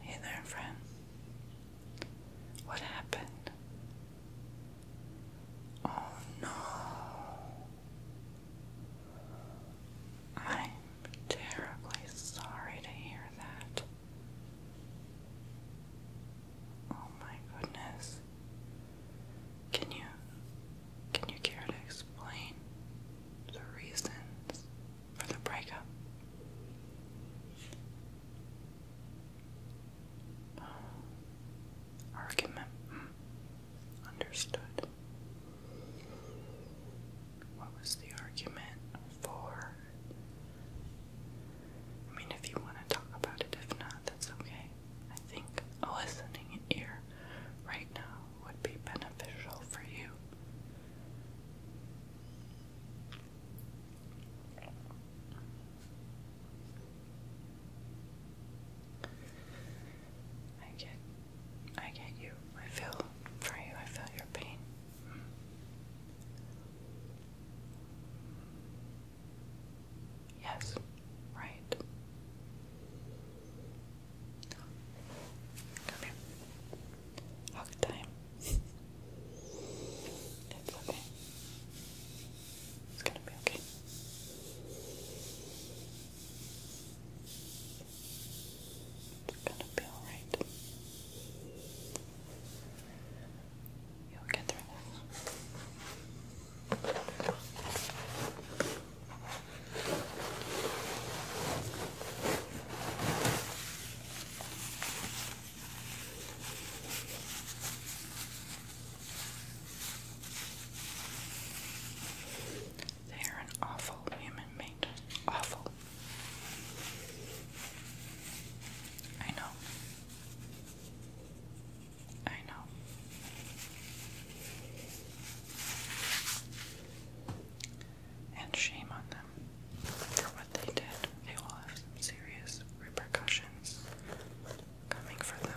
Hey there, friend. What happened? Oh no. I'm terribly sorry to hear that. Oh my goodness. Can you can you care to explain the reasons for the breakup? argument. Understood. What was the argument for? I mean, if you want to talk about it, if not, that's okay. I think a listening ear right now would be beneficial for you. I get I get you. I feel for you. I feel your pain. Yes, right. Okay. here. Hug time. it's okay. It's gonna be okay. It's gonna be alright. You'll get through this. They are an awful human being. Awful. I know. I know. And shame on them for what they did. They will have serious repercussions coming for them.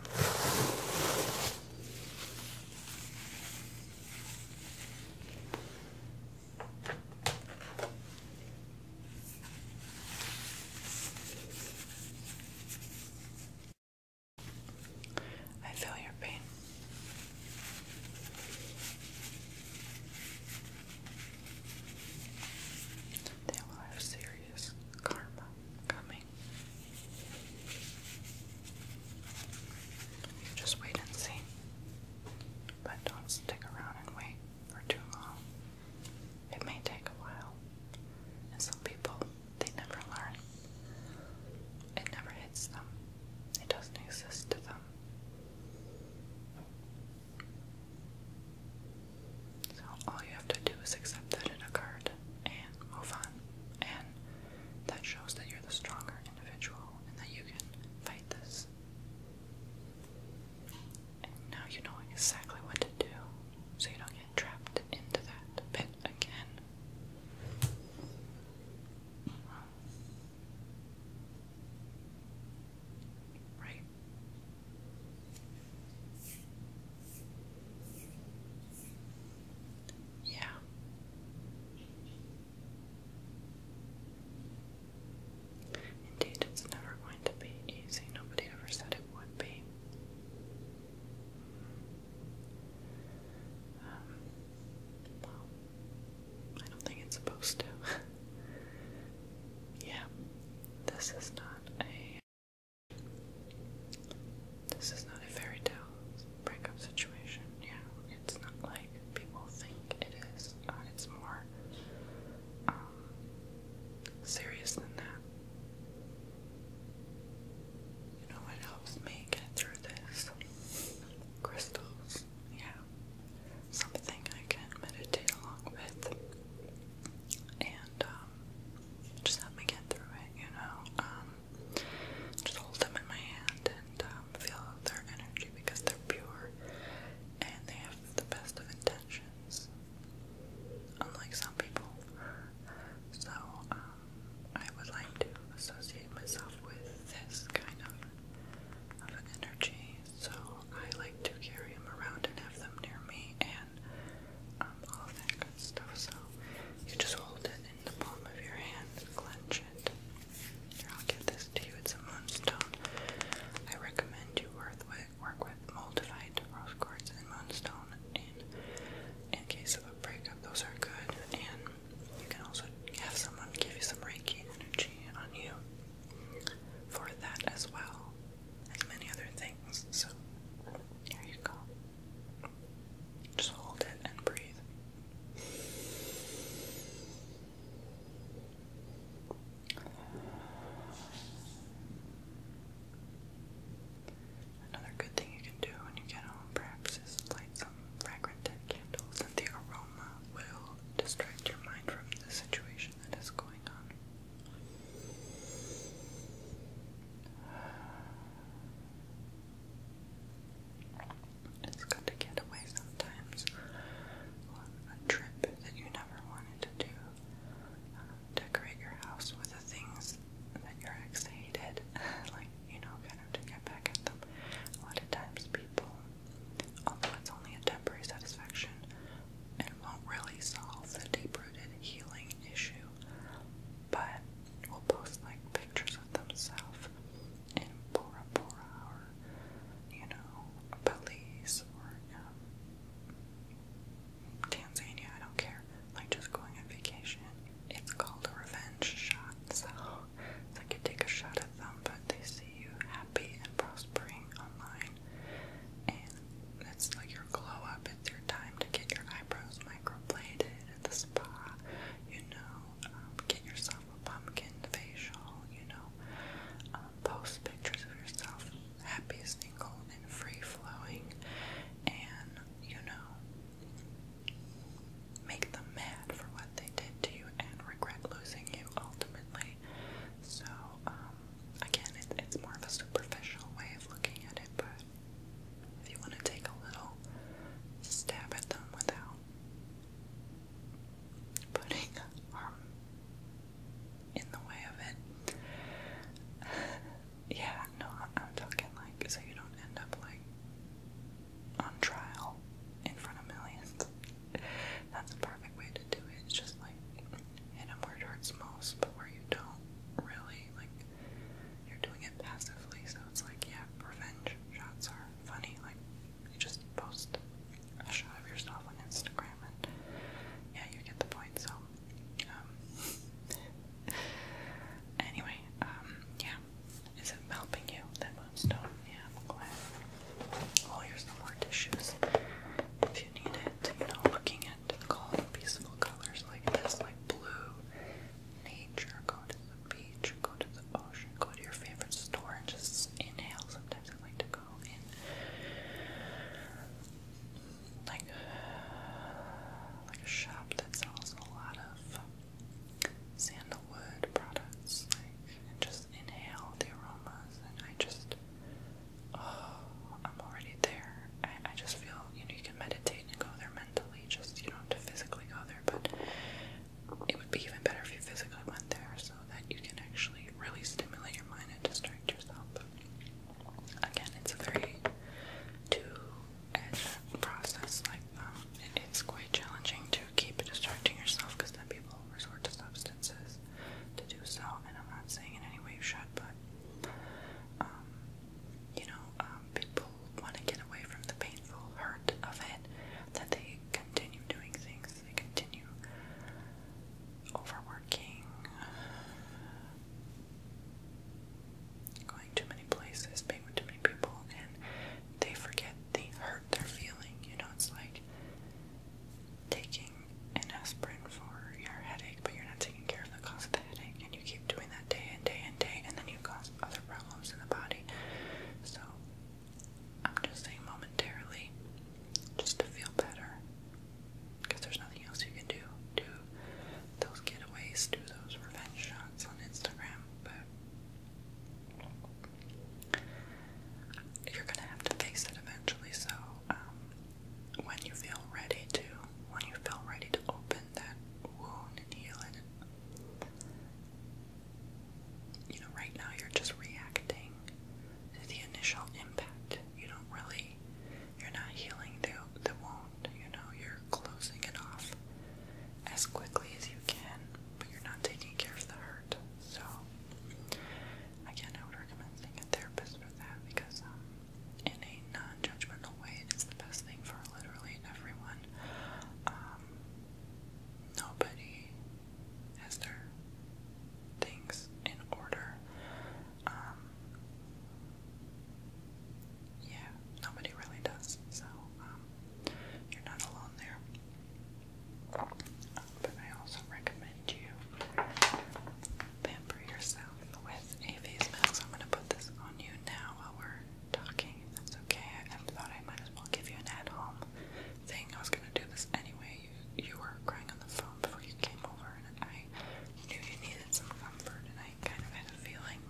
I feel your pain. They will have serious karma coming. just wait and see. But don't stick around and wait for too long. It may take a while. And some people, they never learn. It never hits them. It doesn't exist to them. So all you have to do is accept that it occurred and move on. And that shows that you're the stronger individual and that you can fight this. And now you know exactly what to do so you don't get trapped into that pit again. Right? Yeah. Indeed, it's never going to be easy. Nobody ever said it would be. Um, well, I don't think it's supposed to. yeah, this is not a. This is not a fairy tale breakup situation. Yeah, it's not like people think it is. Uh, it's more um, serious than that. You know what helps me get through this? Crystals. Yeah. Something I can meditate along with. And um, just help me get through it, you know. Um, just hold them in my hand and um, feel their energy because they're pure and they have the best of intentions. Unlike some people. So, I would like to associate myself with this kind of, of energy, so I like to carry them around and have them near me and um, all that good stuff. So you just hold it in the palm of your hand, clench it. Here, I'll give this to you. It's a moonstone. I recommend you work with, work with moldavite, rose quartz, and moonstone. And in case of a breakup, those are good. And you can also have someone give you some Reiki energy on you for that as well, and many other things. So, there you go. Just hold it and breathe. Another good thing you can do when you get home, perhaps, is light some fragrant candles, and the aroma will distract your mind from the situation that is going on. It's good to get away sometimes a trip that you never wanted to do. Uh, decorate your house with the things that your ex hated, like, you know, kind of to get back at them. A lot of times people, although it's only a temporary satisfaction, and won't really solve the deep-rooted healing issue, but will post, like, pictures of themselves in Bora Bora or, you know, Belize or, um, Tanzania, I don't care. Like, just going on vacation it's called a revenge shot, so it's like you take a shot at them, but they see you happy and prospering online, and that's like your glow up. It's your time to get your eyebrows microbladed at the spa, you know, um, get yourself a pumpkin facial, you know, um, post pictures of yourself happy, single, and free flowing, and you know make them mad for what they did to you and regret losing you ultimately. So, um, again, it, it's more of a superficial way of looking at it, but if you want to take a little stab at them without putting harm um, in the way of it, yeah, no, I'm talking like so you don't end up like on trial in front of millions. That's the perfect way to do it. It's just like hit them where it hurts but where you don't really like you're doing it passively. So it's like, yeah, revenge shots are funny. Like you just post a shot of yourself on Instagram, and yeah, you get the point. So, um, anyway, um, yeah, is it helping you, that moonstone? Yeah, I'm glad. Oh, tissues. If you need it, you know, looking at calm, peaceful colors like this, like blue, nature, go to the beach, go to the ocean, go to your favorite store and just inhale. Sometimes I like to go in like, like a shop that sells a lot of sandalwood products, like, and just inhale the aromas, and I just, oh, I'm already there. I, I just feel, you know, you can meditate and go there mentally, just, you don't have to physically go there, but it would be even better if you physically went there so that you can actually really stimulate your mind and distract yourself. Again, it's a very two process like it's quite challenging to keep distracting yourself because then people resort to substances to do so and I'm not saying in any way you should but um, you know um, people want to get away from the painful hurt of it that they continue doing things they continue overworking going too many places, being with too many people, and they forget the hurt they're feeling. You know, it's like taking an aspirin for your headache, but you're not taking care of the cause of the headache, and you keep doing that day and day and day, and then you cause other problems in the body. So, I'm just saying momentarily, just to feel better, because there's nothing else you can do. Do those getaways, do those revenge shots on Instagram, but you're gonna have to face it eventually. So, um, when you feel ready to, when you feel ready to open that wound and heal it, you know, right now you're just reacting to the initial impact. You don't really, you're not healing through the wound, you know, you're closing it off as quickly as you can, but you're not taking care of the hurt. So, again, I would recommend seeing a therapist for that because, um, in a non judgmental way, it's the best thing for literally everyone. Um, nobody has their things in order. Um, yeah, nobody really does, so um, you're not alone there. But I also recommend you pamper yourself with a face mask. I'm going to put this on you now while we're talking, that's okay. I, thought I might as well give you an at home thing. I was going to do this anyway. You, you were crying on the phone before you came over, and I knew you needed some comfort, kind of had a feeling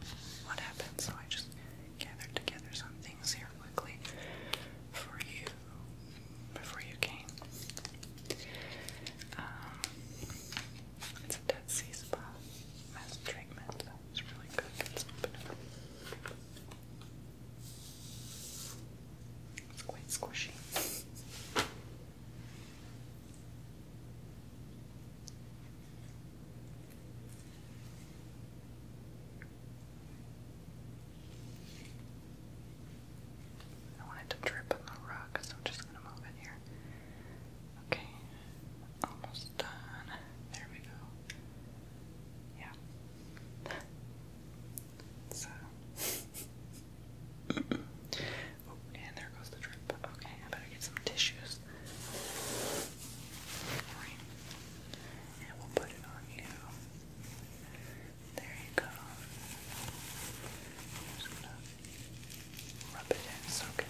what happened, so I just gathered together some things here quickly for you before you came. Um, it's a Dead Sea Spa mass treatment. It's really good. Let's open it up. It's quite squishy. I want to drip on the rug, so I'm just gonna move it here. Okay, almost done. There we go. Yeah. so. Oh, and there goes the drip. Okay, I better get some tissues close. And we'll put it on you. There you go. just gonna rub it in, soak it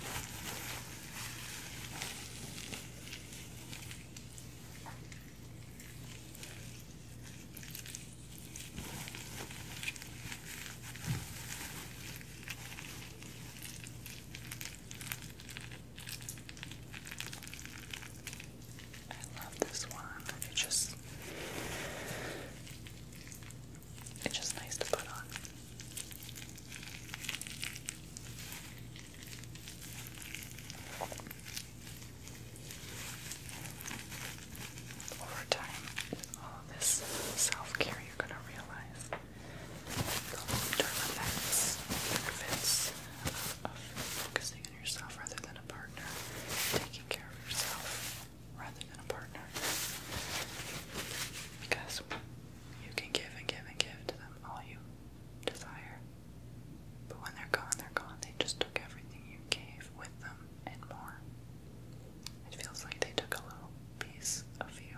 I love this one. It just it's just nice to put on. Over time, all of this self care, you're going to realize effects, on yourself rather than a partner, taking care of yourself rather than a partner. Because you can give and give and give to them all you desire. But when they're gone, they're gone. They just took everything you gave with them and more. It feels like they took a little piece of you.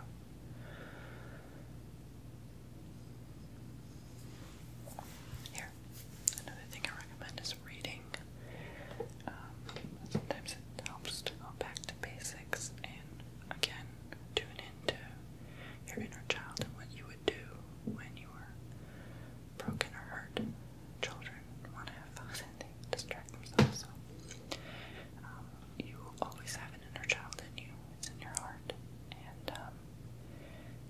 Here, another thing I recommend is reading. Um, sometimes it helps to go back to basics and again tune into your inner child and what you would do when you were broken or hurt. Children want to have fun they distract themselves. Um, you always have an inner child in you. It's in your heart, and um,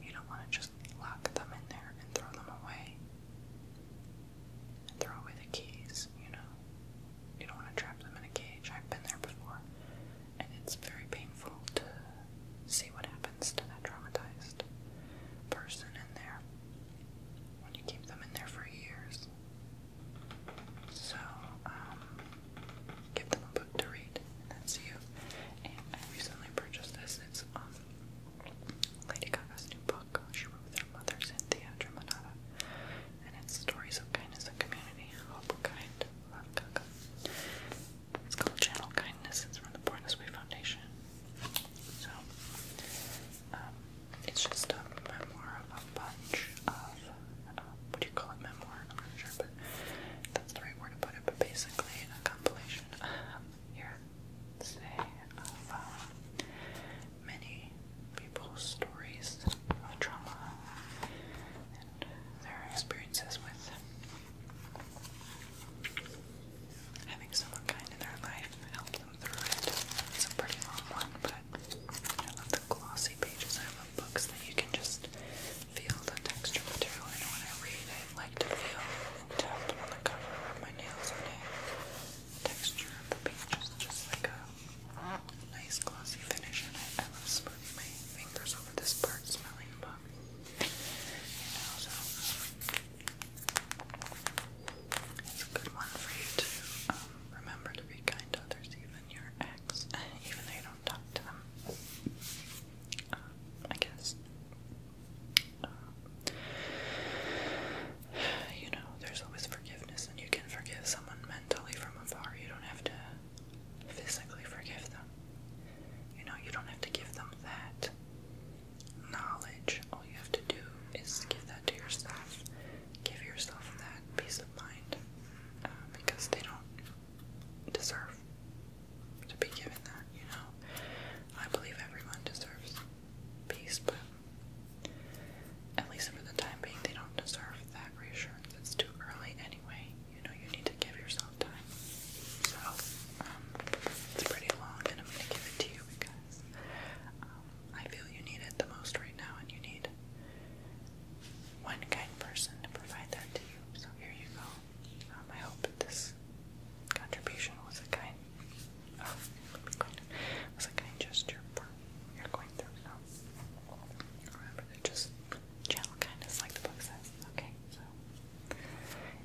you don't want to just lock them in there and throw them away. And throw away the keys, you know. You don't want to trap them in a cage. I've been there before, and it's very painful to see what happens to that traumatized person in there when you keep them in there for years books. So, um, give them a book to read, that's you. And I recently purchased this. It's um, Lady Gaga's new book. She wrote with her mother, Cynthia Dramanada. And it's Stories of Kindness and Community. Hope, kind, love, Gaga. It's called Channel Kindness. It's from the Born This Way Foundation. So, um, it's just a memoir of a bunch of, um, what do you call it, memoir? I'm not sure, but that's the right word to put it. But basically, a compilation um, here, say, of um, many people's stories of trauma and their experiences with having someone kind in their life help them through it. It's a pretty long one, but I love the glossy pages. I love books that you can just feel the texture material. And when I read, I like to feel and tap on the cover of my nails on it. texture of the pages, just like a nice glossy finish. And I, I love smoothing my fingers over this part, smelling the book. You know, so um, it's a good one for you to um, remember to be kind to others, even your ex, even though you don't talk to them. Um, I guess. Um, you know, there's always forgiveness, and you can forgive someone mentally from afar. You don't have to physically forgive them. You know, you don't have to give them that knowledge. All you have to do is give that to yourself give yourself that peace of mind uh, because they don't deserve to be given that, you know. I believe everyone deserves peace, but at least for the time being, they don't deserve that reassurance. It's too early anyway. You know, you need to give yourself time. So, um, it's pretty long, and I'm gonna give it to you because um, I feel you need it the most right now, and you need one kind person to provide that to you. So here you go. Um, I hope this contribution was a kind, oh, was a kind gesture you're going through. So remember to just channel kindness, like the book says. Okay, so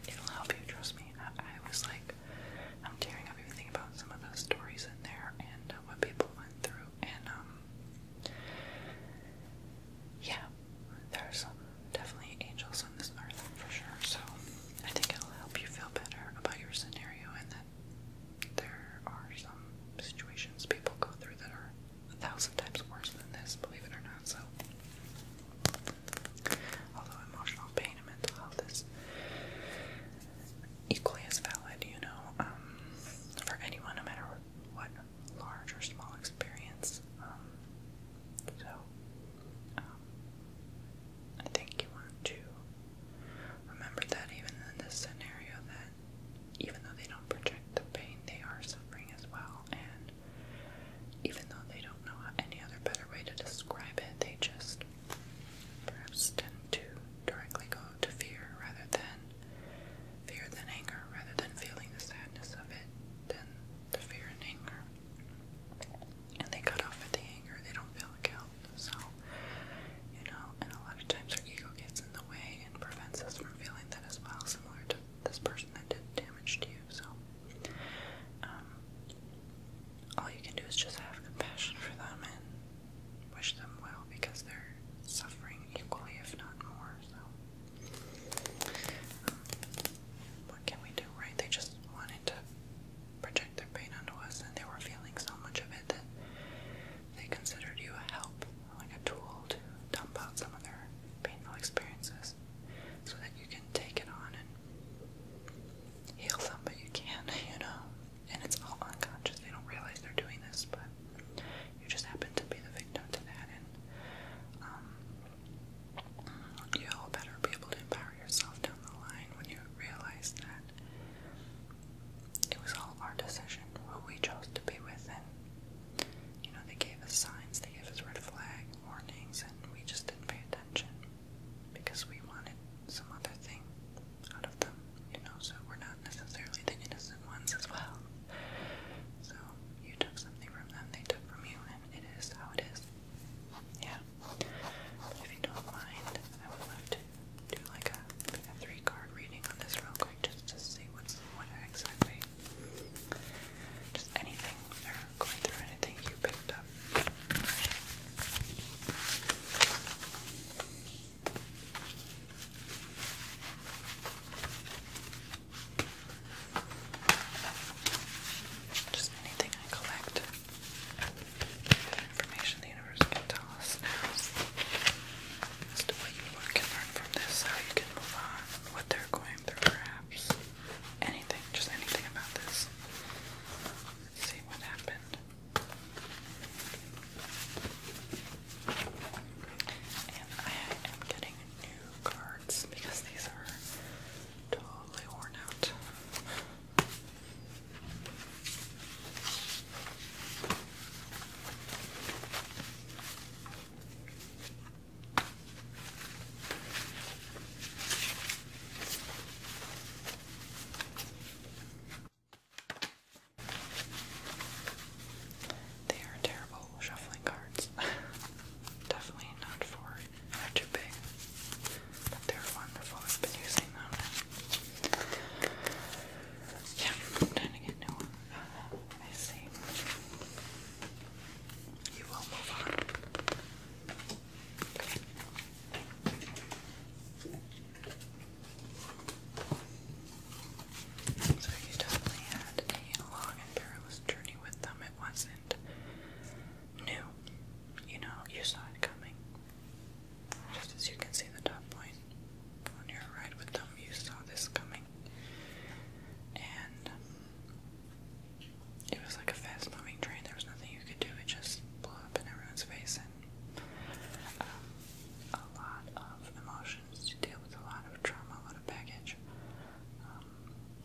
it'll help you. Trust me. I, was like, I'm tearing up everything about some of those stories in there and uh, what people went through and um, yeah, there are some definitely angels on this earth for sure. So I think it'll help you feel better about your scenario and that there are some situations people go through that are a thousand times worse than this, believe it or not. So although emotional pain and mental health is equally as valid, you know, um, for anyone, no matter what large or small experience. Um, so, um, I think you want to remember that even in this scenario, that even though they don't project the pain, they are suffering as well, and even though they don't know any other better way to describe it, they just perhaps tend to directly go to fear rather than fear than anger, rather than feeling the sadness of it, than the fear and anger. And they cut off at the anger, they don't feel the guilt. So, you know, and a lot of times our ego gets in the way and prevents us from feeling that as well, similar to this person that did damage to you. So, um, all you can do is just have compassion for them and wish them well because they're suffering equally, if not more. So, um, what can we do, right? They just wanted to project their pain onto us, and they were feeling so much of it that they considered you a help, like a tool to dump out some of their painful experiences so that you can take it on and heal them, but you can't, you know? and it's all unconscious. They don't realize they're doing this, but you just happen to be the victim to that, and um, you'll better be able to empower yourself down the line when you realize that it was all our decision, who we chose to be with, and you know they gave us signs, they gave us red flag warnings, and we just didn't pay attention because we wanted some other thing out of them, you know, so we're not necessarily the innocent ones as well. So you took something from them, they took from you, and it is how it is. Yeah. If you don't mind, I would love to do like a, three card reading on this real quick just to see what's what exactly. Just anything going through anything you picked up. Just anything I collect. Information the universe can tell us now what you can learn from this, how you can move on, what they're going through, perhaps. Anything, just anything about this. see what happened. And I am getting new cards because these are totally worn out. They are terrible shuffling cards. Definitely not for they're But they're wonderful. I've been using them. Yeah, trying to get new one. Uh, I see. You will move on. So you definitely had a long and perilous journey with them. It wasn't new. You know, you saw it coming. Just as you can see the top point on your ride with them, you saw this coming. And it was like a fast moving train. There was nothing you could do. It just blew up in everyone's face um, a lot of emotions to deal with, a lot of trauma, a lot of baggage. Um,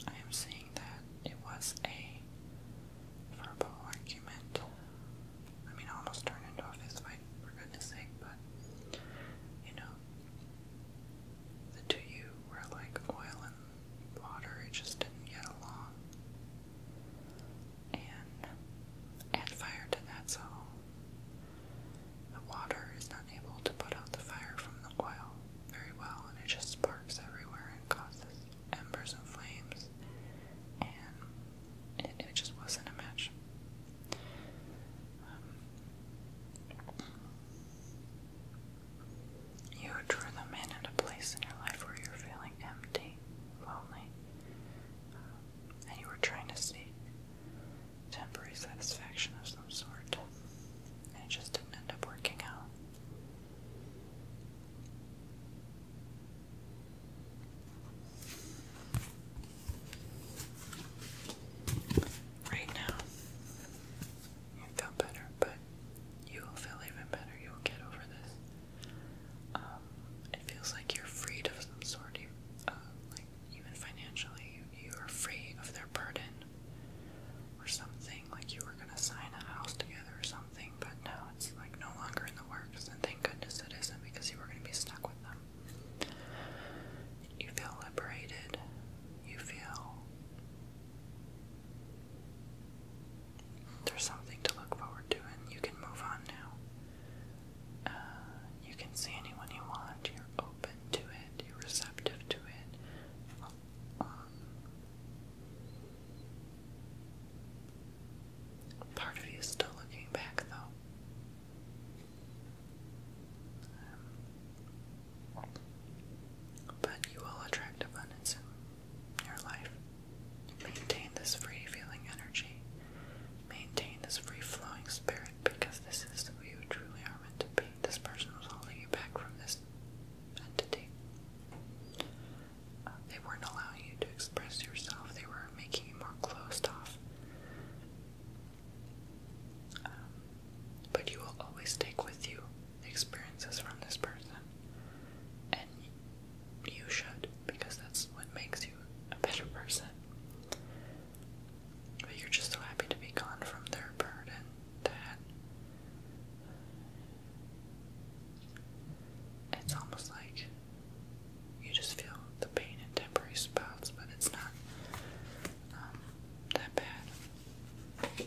I am seeing that it was a verbal argument. I mean, almost turned into a fist for goodness sake, but you know, the two of you were like oil and water, it just didn't get along and add fire to that so the water is not able to put out the fire from the oil very well and it just sparks everywhere and causes embers and flames and it, just wasn't a match. Um, you drew them in at a place in your life where you're feeling empty, lonely, um, and you were trying to seek temporary satisfaction of some sort, and it just didn't end up working out. Right now, you feel better, but you will feel even better. You will get over this. Um, it feels like you're freed of some sort, uh, like even financially, you, are free of their burden or something. Like you were gonna sign a house together or something, but now it's like no longer in the works, and thank goodness it isn't because you were gonna be stuck with them. You feel liberated. You feel there's something to look forward to, and you can move on now. Uh, you can see anyone you want, you're open to it, you're receptive to it. Um, part of you is still looking back, though. Um, but you will attract abundance and your life. Maintain this free feeling energy. Maintain this free flowing spirit because this is who you truly are meant to be. This person was holding you back from this entity. Uh, they weren't allowing you to express yourself, they were making you more closed off. Um, but you will always take with you the experiences from this person. And you should, because that's what makes you a better person. But you're just so happy to be gone from their burden that it's almost like you just feel the pain in temporary spouts, but it's not um, that bad.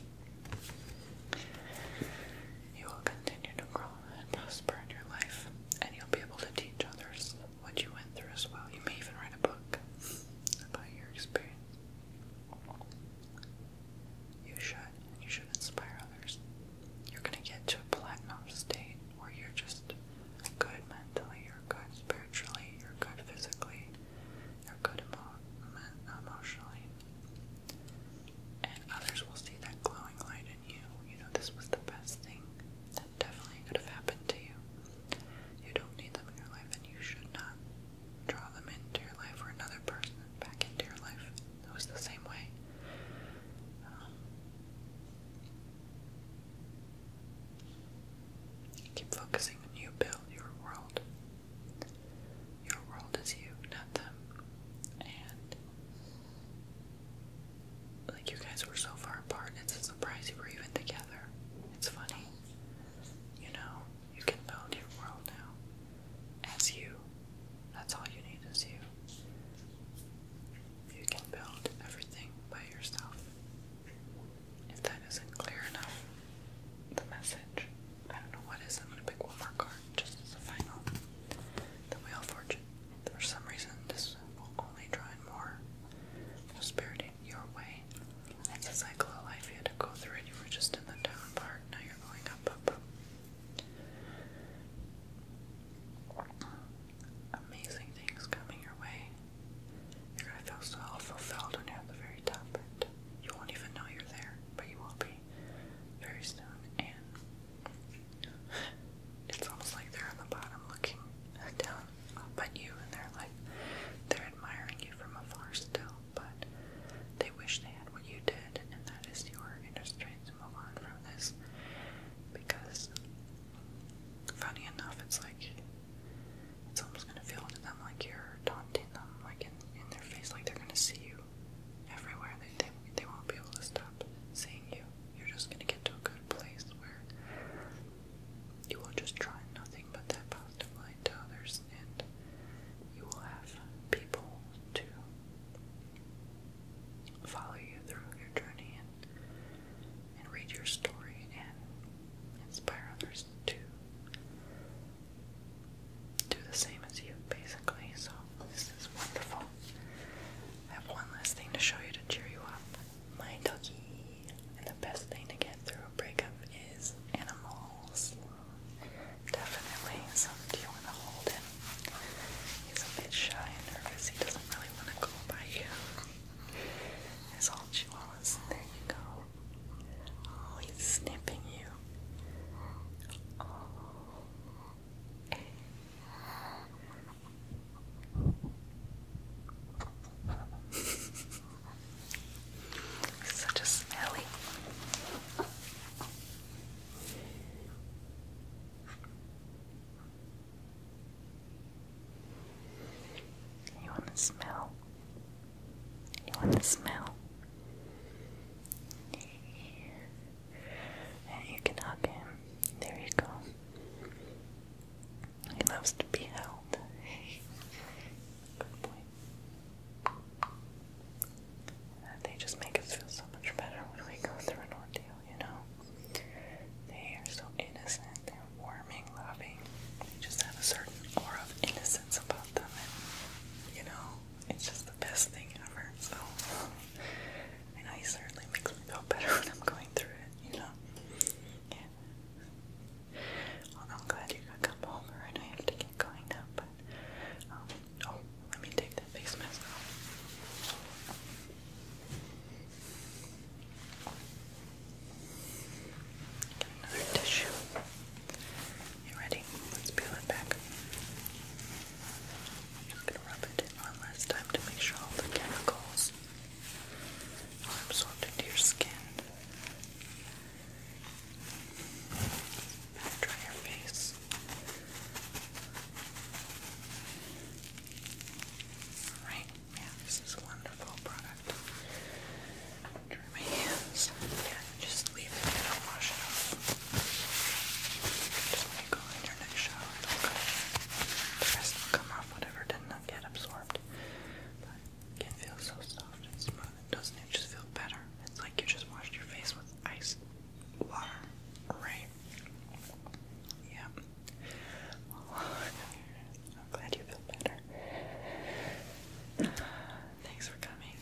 You will continue to grow and prosper in your life, and you'll be able to teach others what you went through as well. You may even write a book about your experience. You should, you should inspire others. You're going to get to a platinum state where you're just good mentally, you're good spiritually, you're good physically, you're good emotionally and others will see that glowing light in you. You know, this was the best thing that definitely could have happened to you. You don't need them in your life, and you should not draw them into your life or another person back into your life. It was the same way. Um, keep focusing on you, build your world. Your world is you, not them. And like, you guys were so far apart, it's a surprise you were even together. It's funny. You know, you can build your world now. As you. That's all you need is you. You can build everything by yourself. If that isn't clear enough, the message. I don't know what is. I'm gonna pick one more card just as a final. The Wheel of Fortune. For some reason, this will only draw in more prosperity your way. It's a cycle of life. You had to go through it. You were just in the down part. Now you're going up, Amazing things coming your way. You're gonna feel so fulfilled when you're at the very top. You won't even know you're there, but you will be very soon, and it's almost like they're on the bottom looking down at you, and they're like they're admiring you from afar still, but they wish they had what you did, and that is your industry to move on from this because funny enough, it's like it's almost gonna feel to them like you're taunting them, like in their face, like they're gonna see you everywhere. They, they, they won't be able to stop seeing you. You're just going to get to a good place where you will just try nothing but that positive light to others, and you will have people to follow you through your journey and, and read your story and inspire others to do the same as you, basically. So, this is wonderful. I have one last thing to show you to cheer you up. My doggy. And the best thing to get through a breakup is animals. Definitely. So do you want to hold him? He's a bit shy and nervous. He doesn't really want to go by you. His whole chihuahuas. There you go. Oh, he's snipping you. Oh. Such a smelly. You want to smell? You want to smell? And you can hug him. There you go. He loves to be held. Good boy. Uh, they just make us feel so much better when we go through an ordeal, you know? They are so innocent, they're warming, loving. They just have a certain aura of innocence about them, you know, it's just the best thing ever. So, I know he certainly makes me feel better when I'm going through it, you know? Yeah. I'm glad you could come over. I know to get going now, but, um, oh, let me take that face mask off. Get another tissue. You ready? Let's peel it back. I'm just going to rub it in one last time to make sure all the chemicals are absorbed into your skin. Dry your face. Alright, yeah, this is a wonderful product. Dry my hands. Yeah, just leave it and I'll wash it off. Just let it go in your next shower, it The rest will come off, whatever didn't get absorbed. But it can so soft and smooth, doesn't it just feel better? It's like you just washed your face with ice water, right? Yeah. I'm glad you feel better. Thanks for coming.